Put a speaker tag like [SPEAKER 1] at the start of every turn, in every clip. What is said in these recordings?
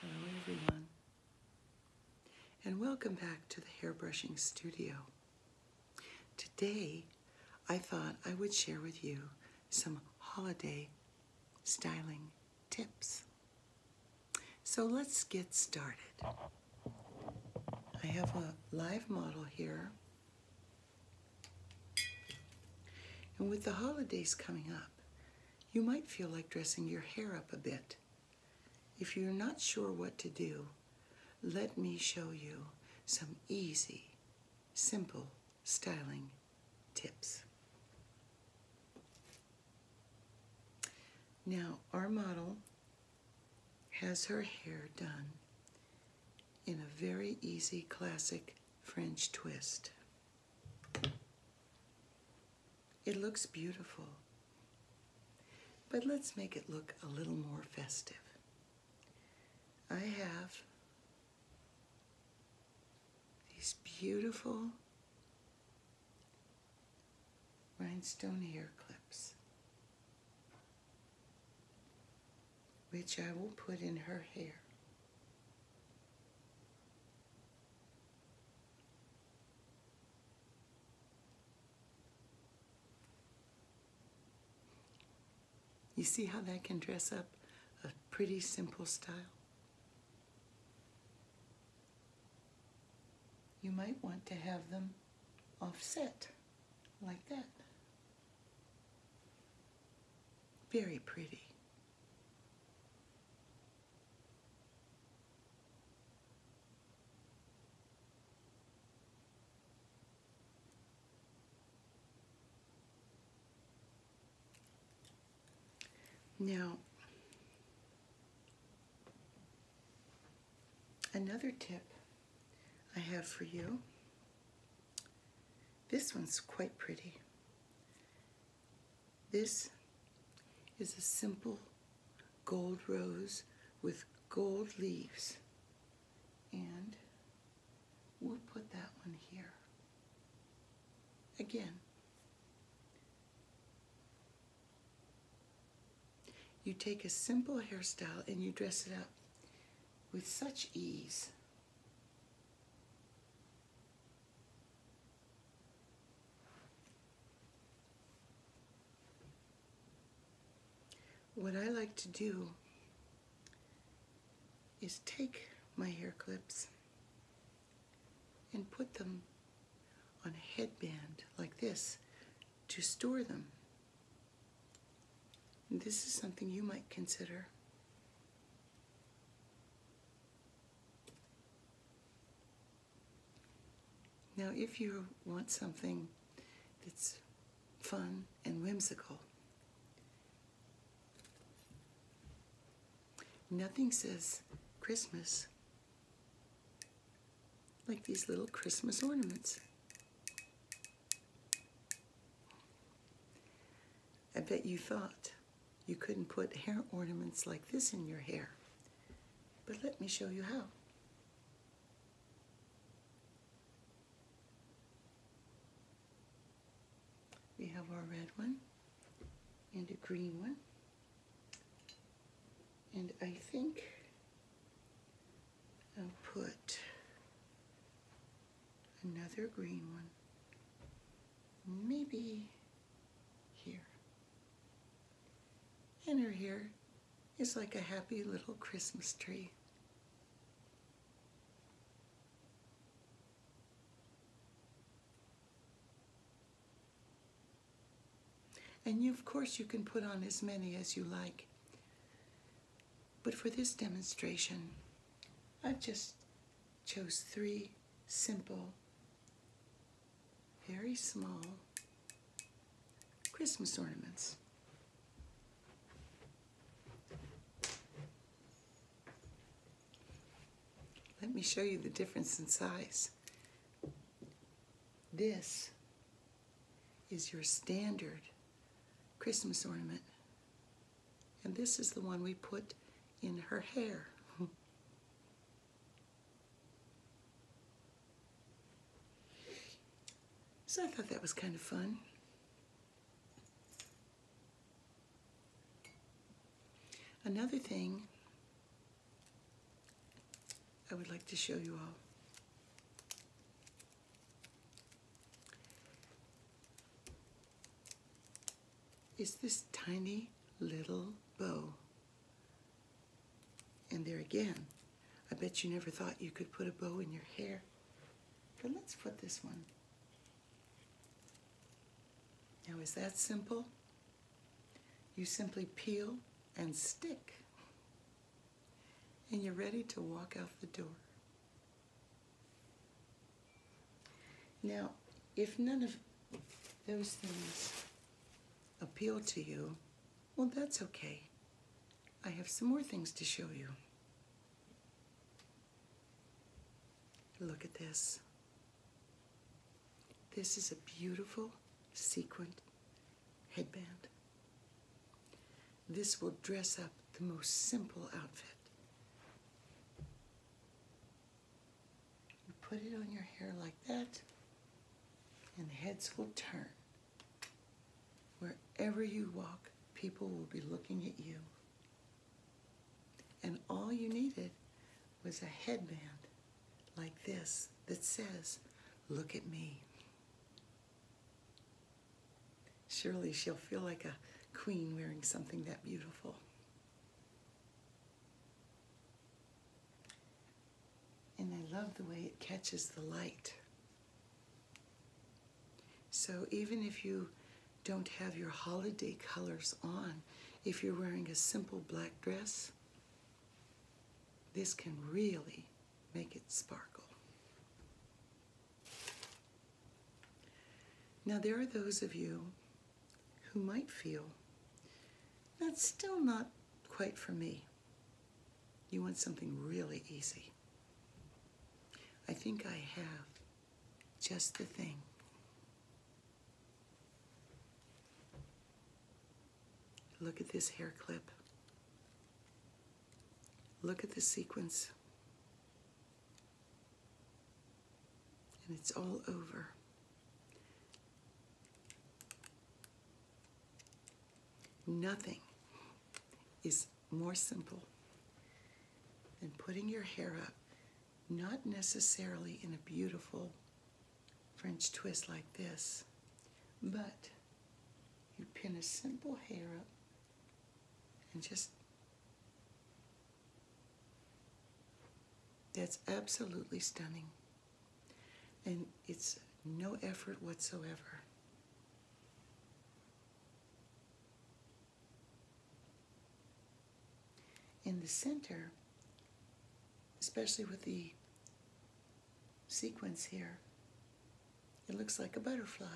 [SPEAKER 1] Hello, everyone, and welcome back to the Hairbrushing Studio. Today, I thought I would share with you some holiday styling tips. So let's get started. I have a live model here. And with the holidays coming up, you might feel like dressing your hair up a bit. If you're not sure what to do, let me show you some easy, simple styling tips. Now, our model has her hair done in a very easy classic French twist. It looks beautiful, but let's make it look a little more festive. I have these beautiful rhinestone hair clips, which I will put in her hair. You see how that can dress up a pretty simple style? You might want to have them offset like that. Very pretty. Now, another tip I have for you this one's quite pretty. This is a simple gold rose with gold leaves. And we'll put that one here. Again, you take a simple hairstyle and you dress it up with such ease. What I like to do is take my hair clips and put them on a headband like this to store them this is something you might consider. Now, if you want something that's fun and whimsical, nothing says Christmas like these little Christmas ornaments. I bet you thought you couldn't put hair ornaments like this in your hair, but let me show you how. We have our red one and a green one. And I think i put another green one, maybe here. And her hair is like a happy little Christmas tree. And of course, you can put on as many as you like. But for this demonstration, I've just chose three simple, very small Christmas ornaments. Let me show you the difference in size. This is your standard Christmas ornament. And this is the one we put in her hair. so I thought that was kind of fun. Another thing I would like to show you all. Is this tiny little bow. And there again, I bet you never thought you could put a bow in your hair. But let's put this one. Now is that simple? You simply peel and stick, and you're ready to walk out the door. Now, if none of those things appeal to you, well, that's okay. I have some more things to show you. Look at this. This is a beautiful sequined headband. This will dress up the most simple outfit. You put it on your hair like that, and heads will turn. Wherever you walk, people will be looking at you. And all you needed was a headband like this that says, Look at me. Surely she'll feel like a queen wearing something that beautiful. And I love the way it catches the light. So even if you don't have your holiday colors on, if you're wearing a simple black dress, this can really make it sparkle. Now there are those of you who might feel, that's still not quite for me. You want something really easy. I think I have just the thing. Look at this hair clip. Look at the sequence. And it's all over. Nothing is more simple than putting your hair up not necessarily in a beautiful French twist like this, but you pin a simple hair up and just that's absolutely stunning and it's no effort whatsoever in the center, especially with the sequence here, it looks like a butterfly.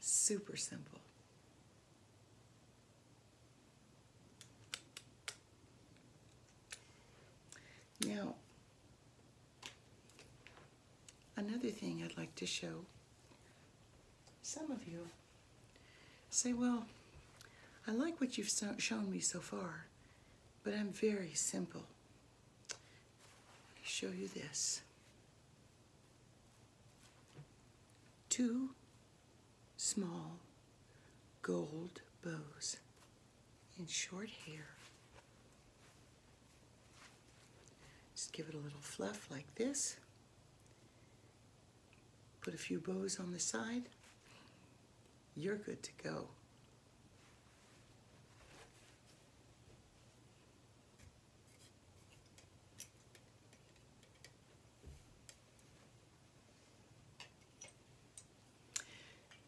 [SPEAKER 1] Super simple. Now, Another thing I'd like to show some of you say, well, I like what you've shown me so far, but I'm very simple. Let me Show you this. Two small gold bows in short hair just give it a little fluff like this. Put a few bows on the side. You're good to go.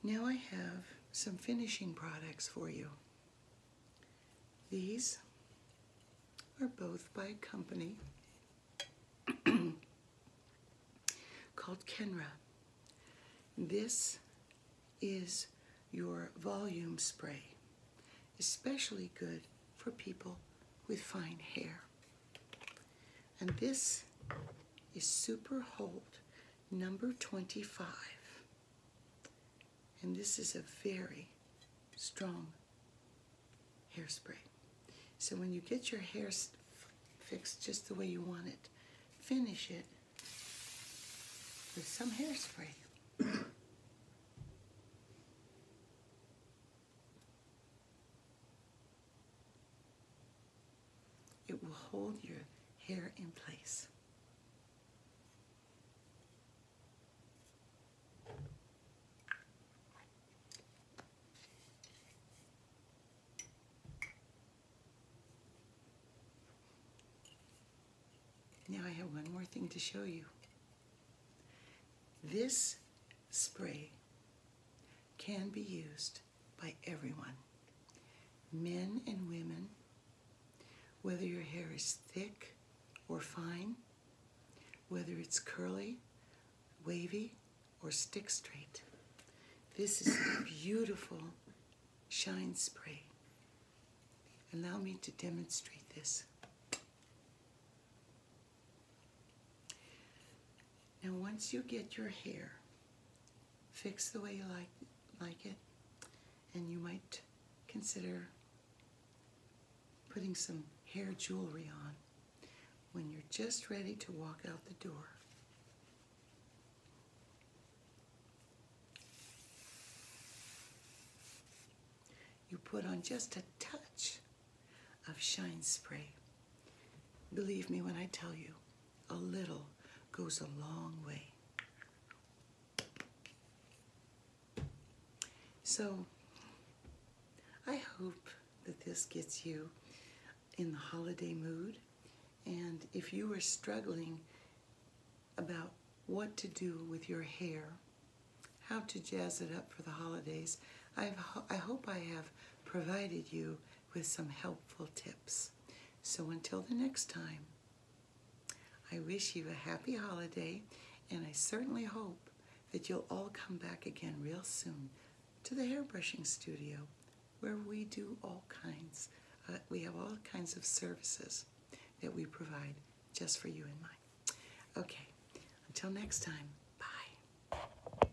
[SPEAKER 1] Now I have some finishing products for you. These are both by a company called Kenra. This is your volume spray, especially good for people with fine hair. And this is Super Hold number 25. And this is a very strong hairspray. So when you get your hair fixed just the way you want it, finish it with some hairspray. it will hold your hair in place. Now I have one more thing to show you. This spray can be used by everyone, men and women, whether your hair is thick or fine, whether it's curly, wavy, or stick straight. This is a beautiful shine spray. Allow me to demonstrate this. Now once you get your hair fix the way you like, like it, and you might consider putting some hair jewelry on when you're just ready to walk out the door. You put on just a touch of shine spray. Believe me when I tell you, a little goes a long way. So I hope that this gets you in the holiday mood. And if you are struggling about what to do with your hair, how to jazz it up for the holidays, i I hope I have provided you with some helpful tips. So until the next time, I wish you a happy holiday, and I certainly hope that you'll all come back again real soon to the hairbrushing studio where we do all kinds, uh, we have all kinds of services that we provide just for you and mine. Okay, until next time. bye.